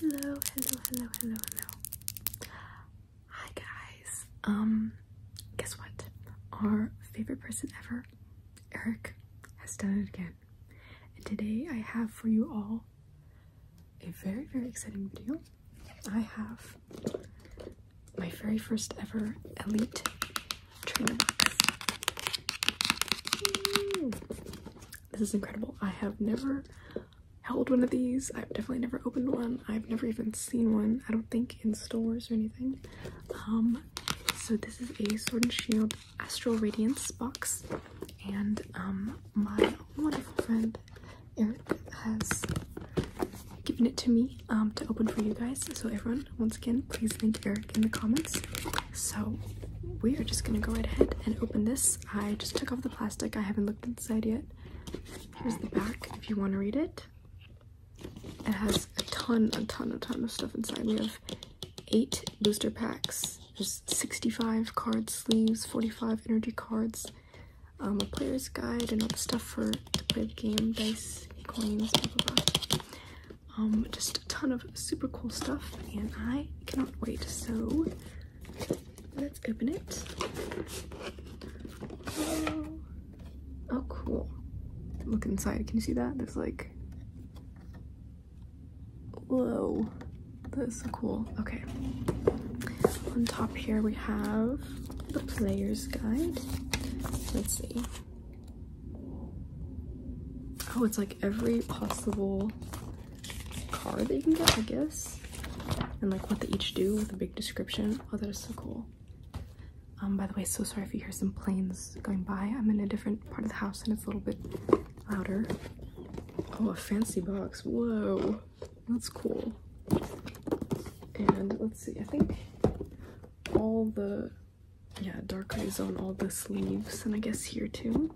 Hello, hello, hello, hello, hello. Hi guys. Um guess what? Our favorite person ever, Eric, has done it again. And today I have for you all a very, very exciting video. I have my very first ever elite trainer this is incredible. I have never held one of these. I've definitely never opened one. I've never even seen one. I don't think in stores or anything. Um, so this is a Sword and Shield Astral Radiance box, and um, my wonderful friend Eric has given it to me um, to open for you guys. So everyone, once again, please link Eric in the comments so we are just gonna go right ahead and open this. I just took off the plastic. I haven't looked inside yet. Here's the back if you want to read it. It has a ton, a ton, a ton of stuff inside. We have eight booster packs. There's 65 card sleeves, 45 energy cards, um, a player's guide, and all the stuff for to play the game, dice, coins, blah blah blah. Um, just a ton of super cool stuff and I cannot wait. So let's open it. Oh, oh cool. Look inside. Can you see that? There's like whoa. That is so cool. Okay. On top here we have the player's guide. Let's see. Oh, it's like every possible card that you can get, I guess. And like what they each do with a big description. Oh, that is so cool. Um, by the way, so sorry if you hear some planes going by. I'm in a different part of the house and it's a little bit louder. Oh, a fancy box. Whoa. That's cool. And let's see, I think all the, yeah, dark eyes on all the sleeves. And I guess here too.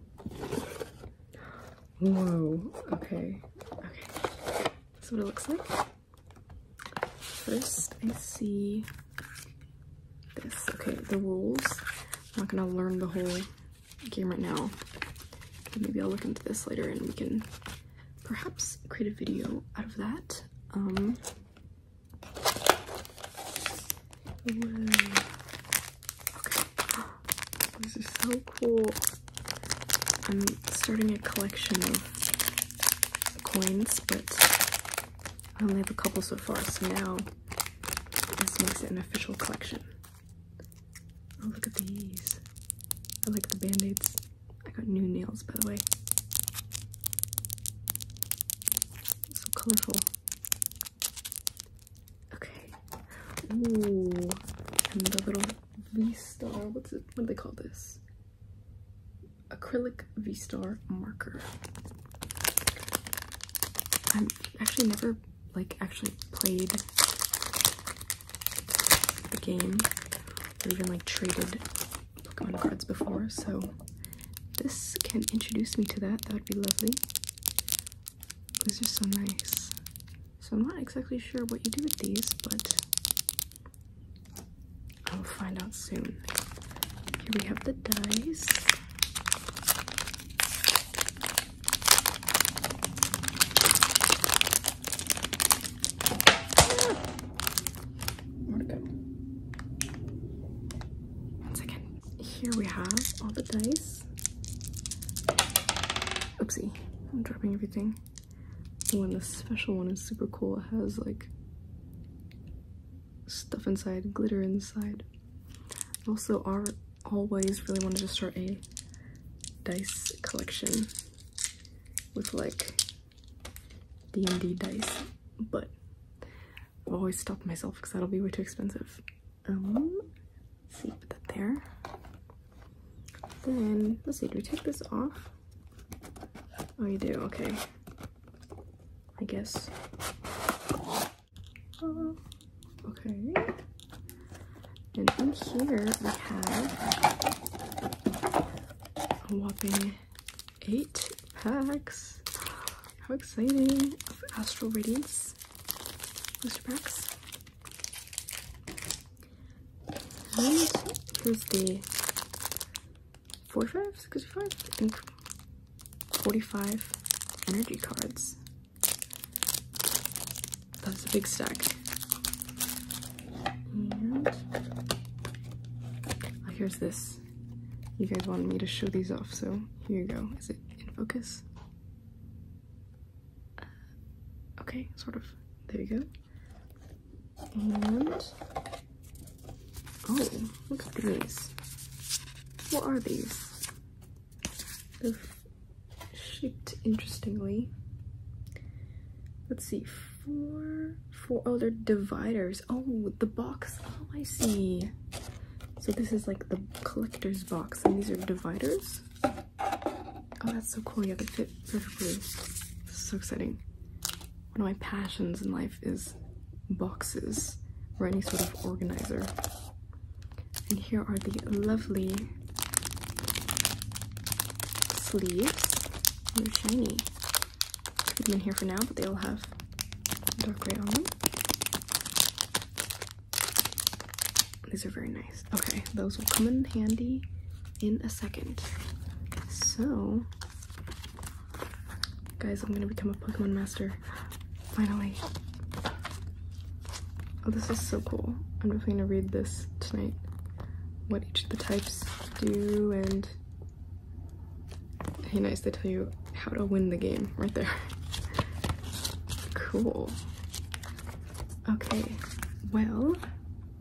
Whoa, okay, okay. That's what it looks like. First, I see this. Okay, the rules. I'm not gonna learn the whole game right now. Maybe I'll look into this later and we can perhaps create a video out of that. Um, Okay. This is so cool. I'm starting a collection of coins, but I only have a couple so far, so now this makes it an official collection. Oh, look at these. I like the band-aids. I got new nails, by the way. So colorful. Okay. Ooh. And the little V-Star. What's it? What do they call this? Acrylic V-Star marker. I've actually never like actually played the game or even like traded Pokemon cards before, so this can introduce me to that. That would be lovely. These are so nice. So I'm not exactly sure what you do with these, but I will find out soon. Here we have the dice. Ah! One second here we have all the dice. Oopsie, I'm dropping everything. The one, the special one is super cool. It has like stuff inside, glitter inside. Also, I always really want to start a dice collection with like D&D dice, but I've always stopped myself because that'll be way too expensive. Um, see, put that there. Then, let's see, do we take this off? Oh, you do, okay. I guess. Uh, okay. And in here we have a whopping eight packs. How exciting! Astral Radiance booster packs. And here's the 45, 65, I think 45 energy cards. That's a big stack. And here's this you guys wanted me to show these off, so here you go. Is it in focus? Uh, okay, sort of. There you go. And oh, look these. What are these? shaped interestingly. Let's see, four, four, oh, they're dividers. Oh, the box. Oh, I see. So this is like the collector's box, and these are dividers. Oh, that's so cool. Yeah, they fit perfectly. so exciting. One of my passions in life is boxes or any sort of organizer. And here are the lovely sleeves. They're shiny. Put them in here for now, but they all have dark gray on them. These are very nice. Okay, those will come in handy in a second. So, guys, I'm gonna become a Pokemon master. Finally. Oh, this is so cool. I'm definitely gonna read this tonight. What each of the types do and Hey, nice, they tell you how to win the game right there. cool. Okay, well,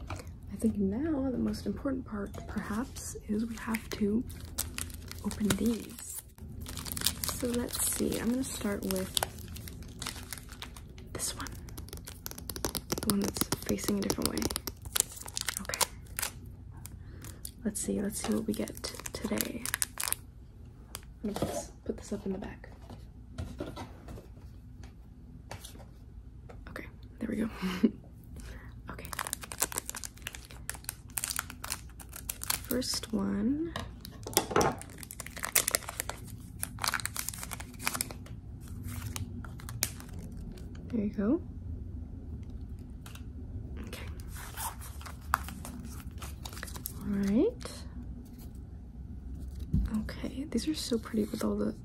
I think now the most important part, perhaps, is we have to open these. So let's see, I'm gonna start with this one. The one that's facing a different way. Okay. Let's see. Let's see what we get today. put this, up in the back. Okay. There we go. okay. First one. There you go. Okay. Alright. Okay, these are so pretty with all the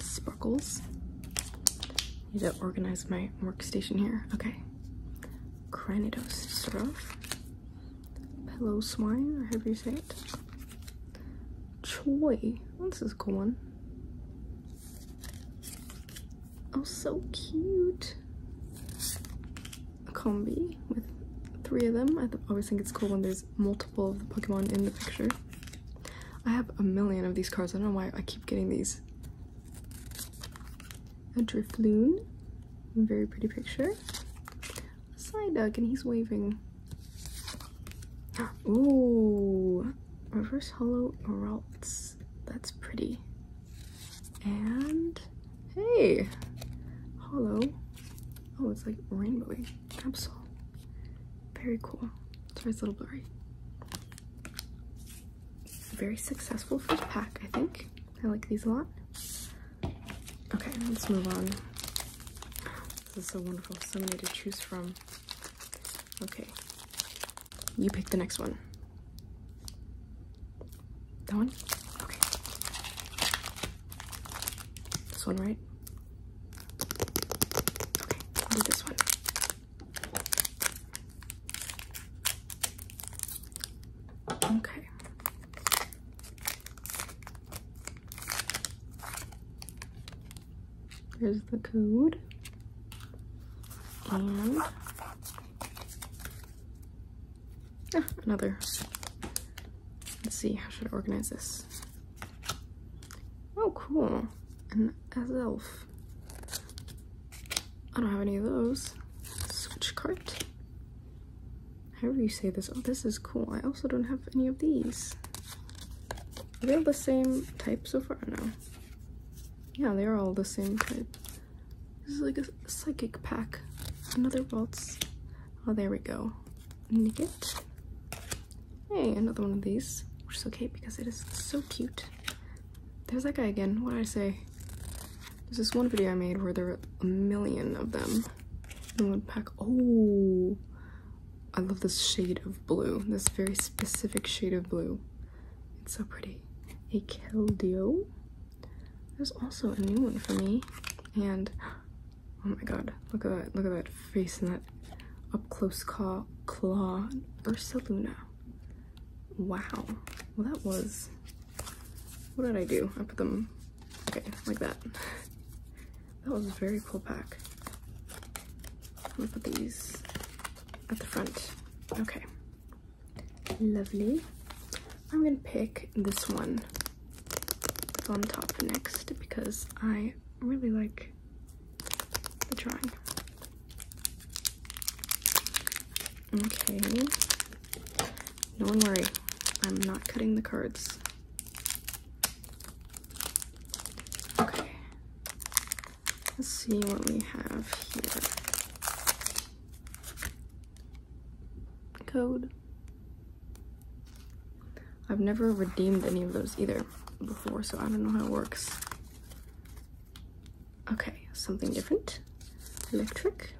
sparkles. Need to organize my workstation here. Okay. Cranidos start off. Pillow swine, or however you say it. Choi. This is a cool one. Oh, so cute. A combi with three of them. I always think it's cool when there's multiple of the Pokemon in the picture. I have a million of these cards. I don't know why I keep getting these. A Drifloon. Very pretty picture. A Psyduck, and he's waving. Ooh. Reverse Hollow Ralts that's pretty. And hey, hollow. Oh, it's like rainbowy capsule. Very cool. Sorry, it's a little blurry. Very successful first pack, I think. I like these a lot. Okay, let's move on. This is so wonderful. So many to choose from. Okay. You pick the next one. That one? Okay. This one, right? Okay, this one. Okay. There's the code. And ah, another. Let's see, how should I organize this? Oh, cool. An elf. I don't have any of those. Switch cart. However you say this. Oh, this is cool. I also don't have any of these. they all the same type so far? now yeah, they're all the same type. This is like a psychic pack. Another waltz. Oh, there we go. Nicket. Hey, another one of these, which is okay because it is so cute. There's that guy again. What did I say? There's this one video I made where there were a million of them in one pack. Oh, I love this shade of blue, this very specific shade of blue. It's so pretty. A Keldeo. There's also a new one for me. And oh my god, look at that. Look at that face and that up close claw, claw Ursa Wow. Well, that was. What did I do? I put them. Okay, like that. that was a very cool pack. I'm put these at the front. Okay, lovely. I'm gonna pick this one on top next because I really like the drawing. Okay, No one worry, I'm not cutting the cards. Okay, Let's see what we have here. Code. I've never redeemed any of those either before, so I don't know how it works. Okay, something different. Electric.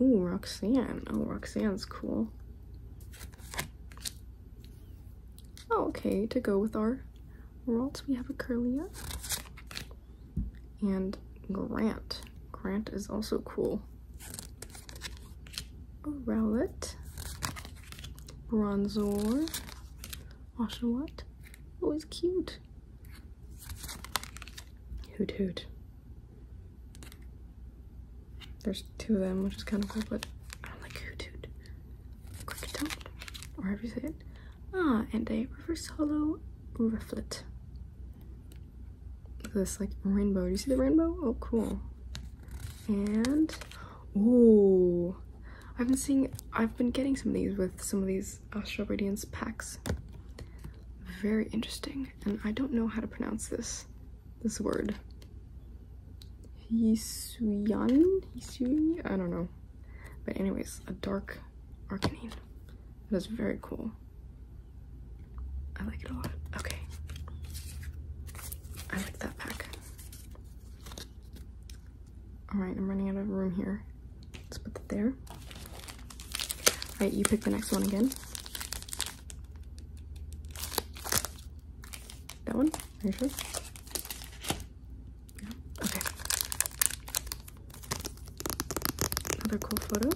Ooh, Roxanne. Oh, Roxanne's cool. Oh, okay, to go with our worlds, we have a Akurlia and Grant. Grant is also cool. A Rowlet, Bronzor, Oshawott. he's cute. Hoot hoot. There's two of them, which is kind of cool, but I don't like Hoot Hoot. Cricketon, or however you say Ah, and a reverse hollow rufflet. Look this, like rainbow. Do you see the rainbow? Oh, cool. And, oh, I've been seeing, I've been getting some of these with some of these Astral uh, Radiance packs. Very interesting, and I don't know how to pronounce this, this word. Hisuian? Hisui? I don't know. But anyways, a dark Arcanine. That is very cool. I like it a lot. Okay. I like that pack. Alright, I'm running out of room here. Let's put that there. Alright, you pick the next one again. That one? Okay. Another cool photo.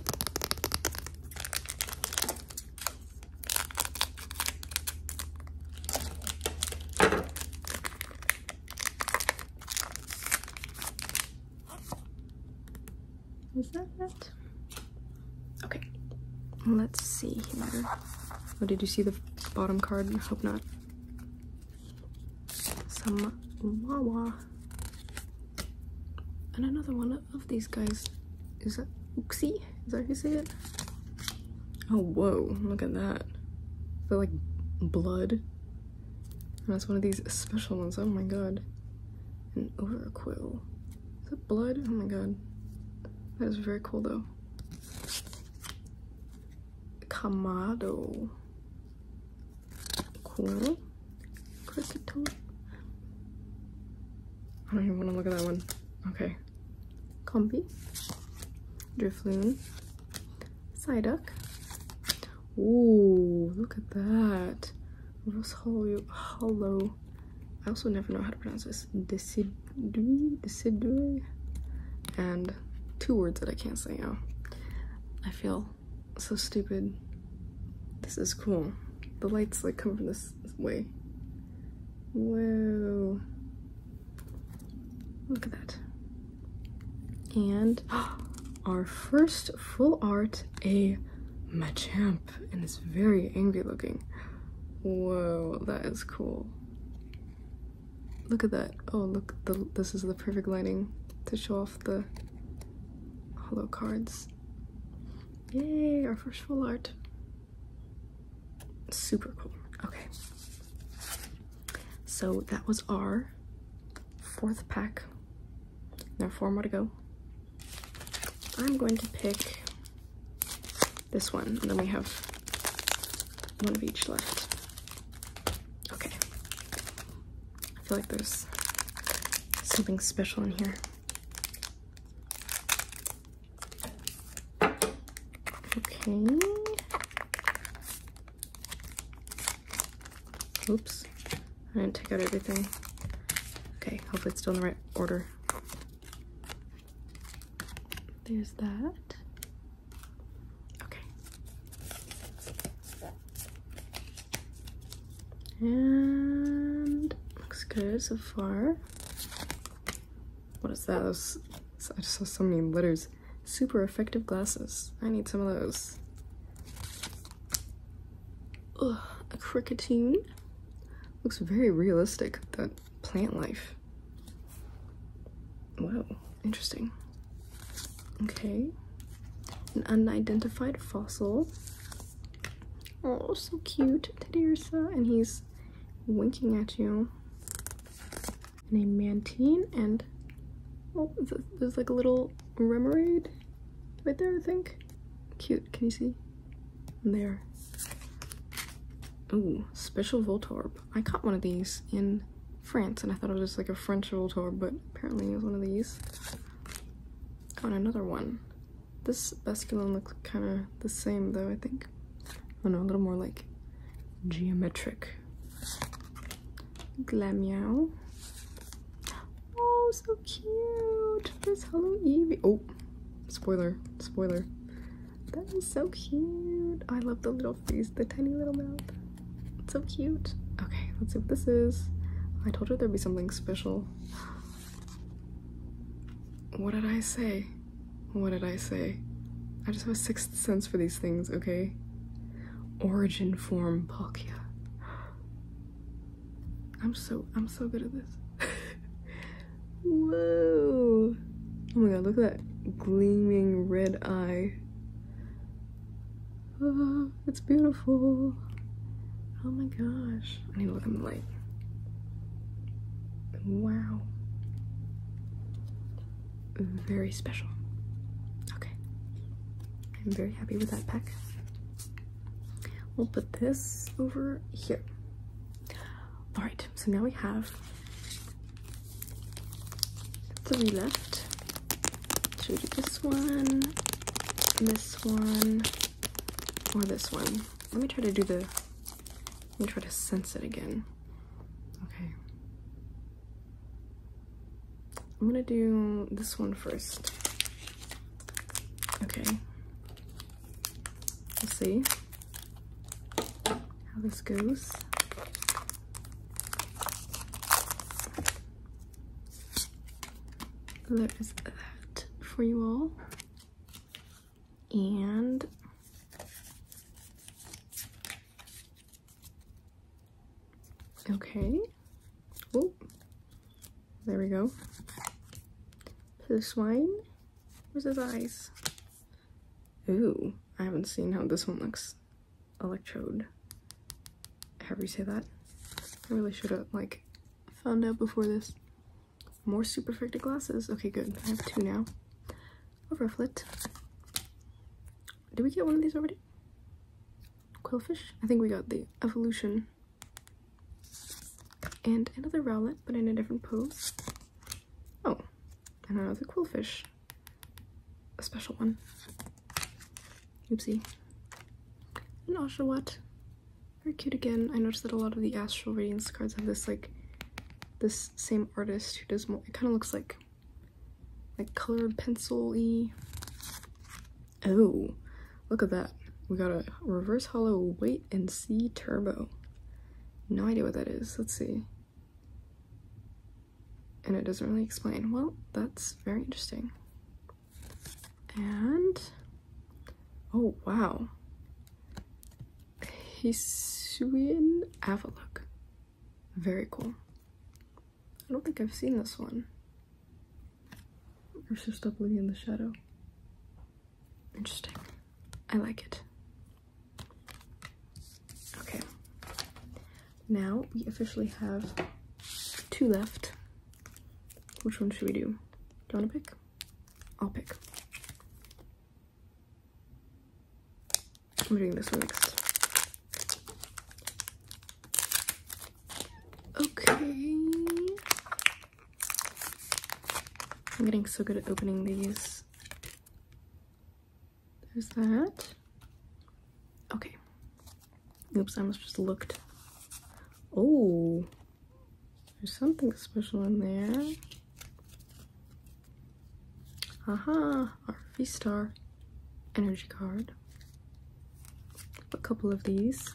Is that it? Okay. Let's see here. Oh, did you see the bottom card? I hope not. Some Wawa. And another one of these guys. Is that Uxie? Is that how you say it? Oh, whoa. Look at that. The, like, blood. And that's one of these special ones. Oh my god. An overquill. Is that blood? Oh my god. That is very cool, though. Kamado. Cool. Cricket I don't even want to look at that one. Okay. Combi. Drifloon. Psyduck. Ooh, look at that. Rose Hollow. Hollow. I also never know how to pronounce this. and two words that I can't say now. I feel so stupid. This is cool. The lights like come from this way. Whoa. Look at that. And our first full art, a Machamp, and it's very angry looking. Whoa, that is cool. Look at that. Oh, look, the, this is the perfect lighting to show off the hollow cards. Yay, our first full art. Super cool. Okay. So that was our fourth pack. Now four more to go. I'm going to pick this one, and then we have one of each left. Okay. I feel like there's something special in here. Okay. Oops. I didn't take out everything. Okay, hopefully it's still in the right order. There's that. Okay. And looks good so far. What is that? I just saw so many letters. Super effective glasses. I need some of those. Ugh, a cricketine. Looks very realistic. That plant life. Wow, interesting. Okay. An unidentified fossil. Oh, so cute. Teddy And he's winking at you. And a mantine and... Oh, there's like a little remoraid right there, I think. Cute. Can you see? There. Ooh, special Voltorb. I caught one of these in France, and I thought it was like a French Voltorb, but apparently it was one of these. Got another one. This Basculin looks kind of the same, though, I think. Oh no, a little more like geometric. Glammeow. Oh, so cute! This Hello Eevee. Oh, Spoiler, spoiler. That is so cute. I love the little face, the tiny little mouth. so cute. Okay, let's see what this is. I told you there'd be something special. What did I say? What did I say? I just have a sixth sense for these things, okay? Origin form Palkia. I'm so I'm so good at this. Whoa! Oh my god, look at that gleaming red eye. Oh, it's beautiful. Oh my gosh. I need to look in the light. Wow. Very special. Okay. I'm very happy with that pack. We'll put this over here. All right, so now we have three left. Should we do this one, this one, or this one? Let me try to do the, let me try to sense it again. Okay. I'm gonna do this one first. Okay. Let's see how this goes. There is that for you all. And okay. There we go. This wine. Where's his eyes? Ooh, I haven't seen how this one looks. Electrode. However you say that. I really should have, like, found out before this. More superfecta glasses. Okay, good. I have two now. A rufflet. Did we get one of these already? Quillfish? I think we got the evolution and another rowlet, but in a different pose. Oh, and another quillfish. A special one. Oopsie. An Oshawott. Very cute again. I noticed that a lot of the Astral Radiance cards have this, like, this same artist who does more. It kind of looks like, like colored pencil-y Oh, look at that. We got a reverse hollow weight and see turbo. No idea what that is. Let's see. And it doesn't really explain. Well, that's very interesting. And, oh wow. Hisuian Avalok. Very cool. I don't think I've seen this one. Versus stop living in the shadow. Interesting. I like it. Okay. Now we officially have two left. Which one should we do? Do you want to pick? I'll pick. I'm doing this one next. Okay. I'm getting so good at opening these. There's that. Okay. Oops, I almost just looked. Oh, there's something special in there. Aha, our star energy card. A couple of these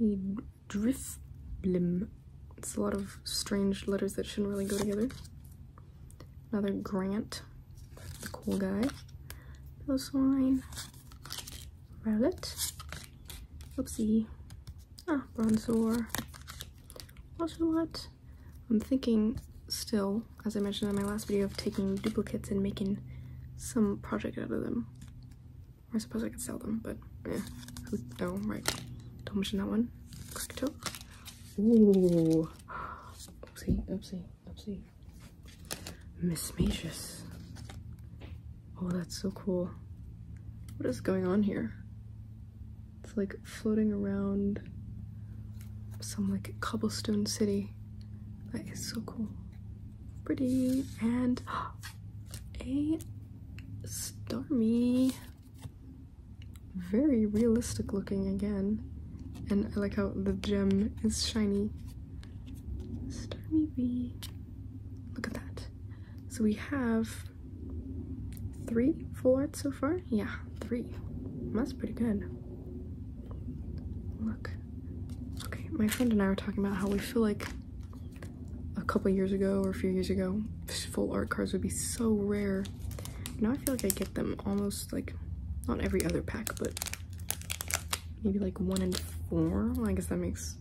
a drifblim. It's a lot of strange letters that shouldn't really go together. Another Grant, the cool guy. Pillow swine. Rowlet. Oopsie. Ah, bronzer. Bronzor. Ocelot. I'm thinking still as I mentioned in my last video, of taking duplicates and making some project out of them. I suppose I could sell them, but yeah. Oh, right. Don't mention that one. Click toe. Ooh. Oopsie, oopsie, oopsie. Mismacious. Oh, that's so cool. What is going on here? It's like floating around some like cobblestone city. That is so cool. Pretty and a stormy, Very realistic looking again. And I like how the gem is shiny. Stormy V. Look at that. So we have three full so far? Yeah, three. That's pretty good. Look. Okay, my friend and I were talking about how we feel like a couple years ago or a few years ago, full art cards would be so rare. Now I feel like I get them almost like, not every other pack, but maybe like one in four. Well, I guess that makes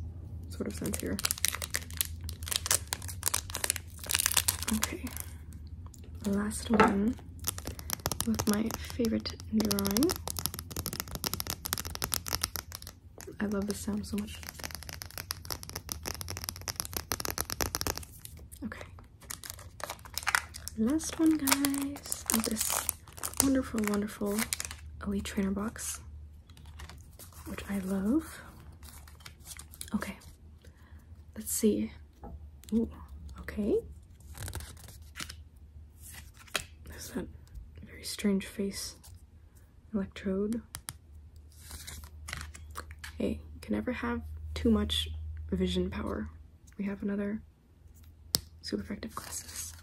sort of sense here. Okay last one with my favorite drawing. I love this sound so much. Okay. Last one, guys, this wonderful, wonderful Elite Trainer box, which I love. Okay. Let's see. Ooh, okay. That's that very strange face electrode. Hey, you can never have too much vision power. We have another super effective glasses.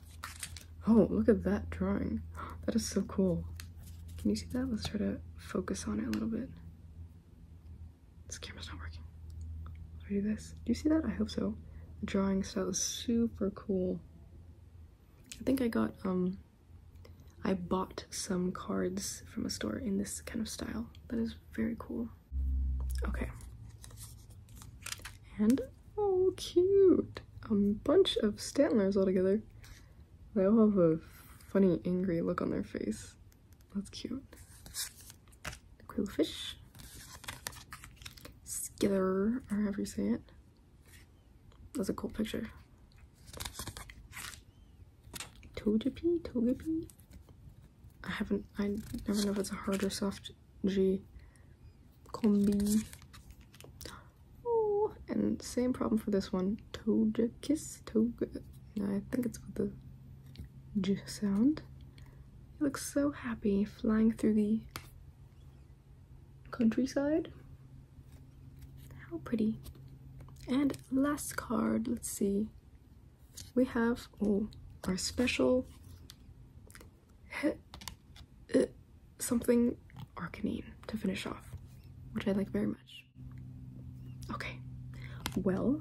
Oh, look at that drawing. That is so cool. Can you see that? Let's try to focus on it a little bit. This camera's not working. I'll do this. Do you see that? I hope so. drawing style is super cool. I think I got, um, I bought some cards from a store in this kind of style. That is very cool. Okay. And, oh cute! A bunch of Stantlers all together. They all have a funny, angry look on their face. That's cute. Quillfish. Skither, or however you say it. That's a cool picture. Togepi? Togepi? I haven't, I never know if it's a hard or soft G. Combi. Oh, and same problem for this one. Togekiss? Toge. No, I think it's with the G sound. He looks so happy flying through the countryside. How pretty. And last card, let's see. We have oh, our special uh, something Arcanine to finish off, which I like very much. Okay, well,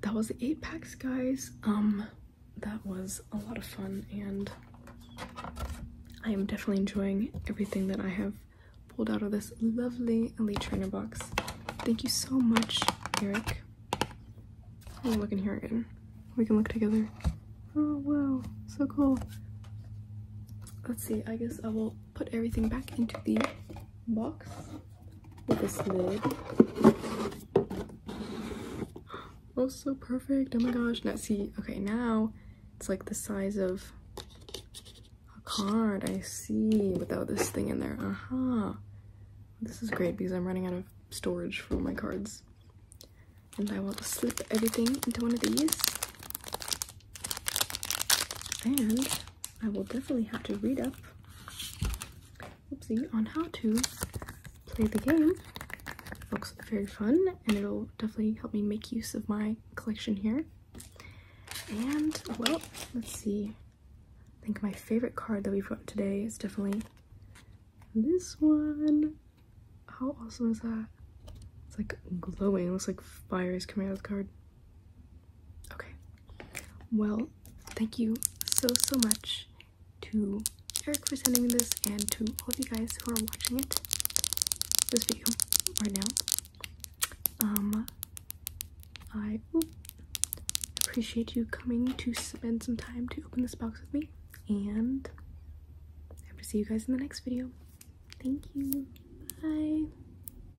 that was the eight packs guys um that was a lot of fun and i am definitely enjoying everything that i have pulled out of this lovely elite trainer box thank you so much eric i'm looking here again we can look together oh wow so cool let's see i guess i will put everything back into the box this lid. Oh, so perfect. Oh my gosh. Now, see, okay, now it's like the size of a card. I see, without this thing in there. Aha! Uh-huh. This is great because I'm running out of storage for my cards. And I want to slip everything into one of these. And I will definitely have to read up oopsie, on how to play the game. Looks very fun and it'll definitely help me make use of my collection here. And well, let's see. I think my favorite card that we've today is definitely this one. How awesome is that? It's like glowing, it looks like fire is coming out of the card. Okay. Well, thank you so so much to Eric for sending this and to all of you guys who are watching it this video right now. Um I appreciate you coming to spend some time to open this box with me and I hope to see you guys in the next video. Thank you. Bye.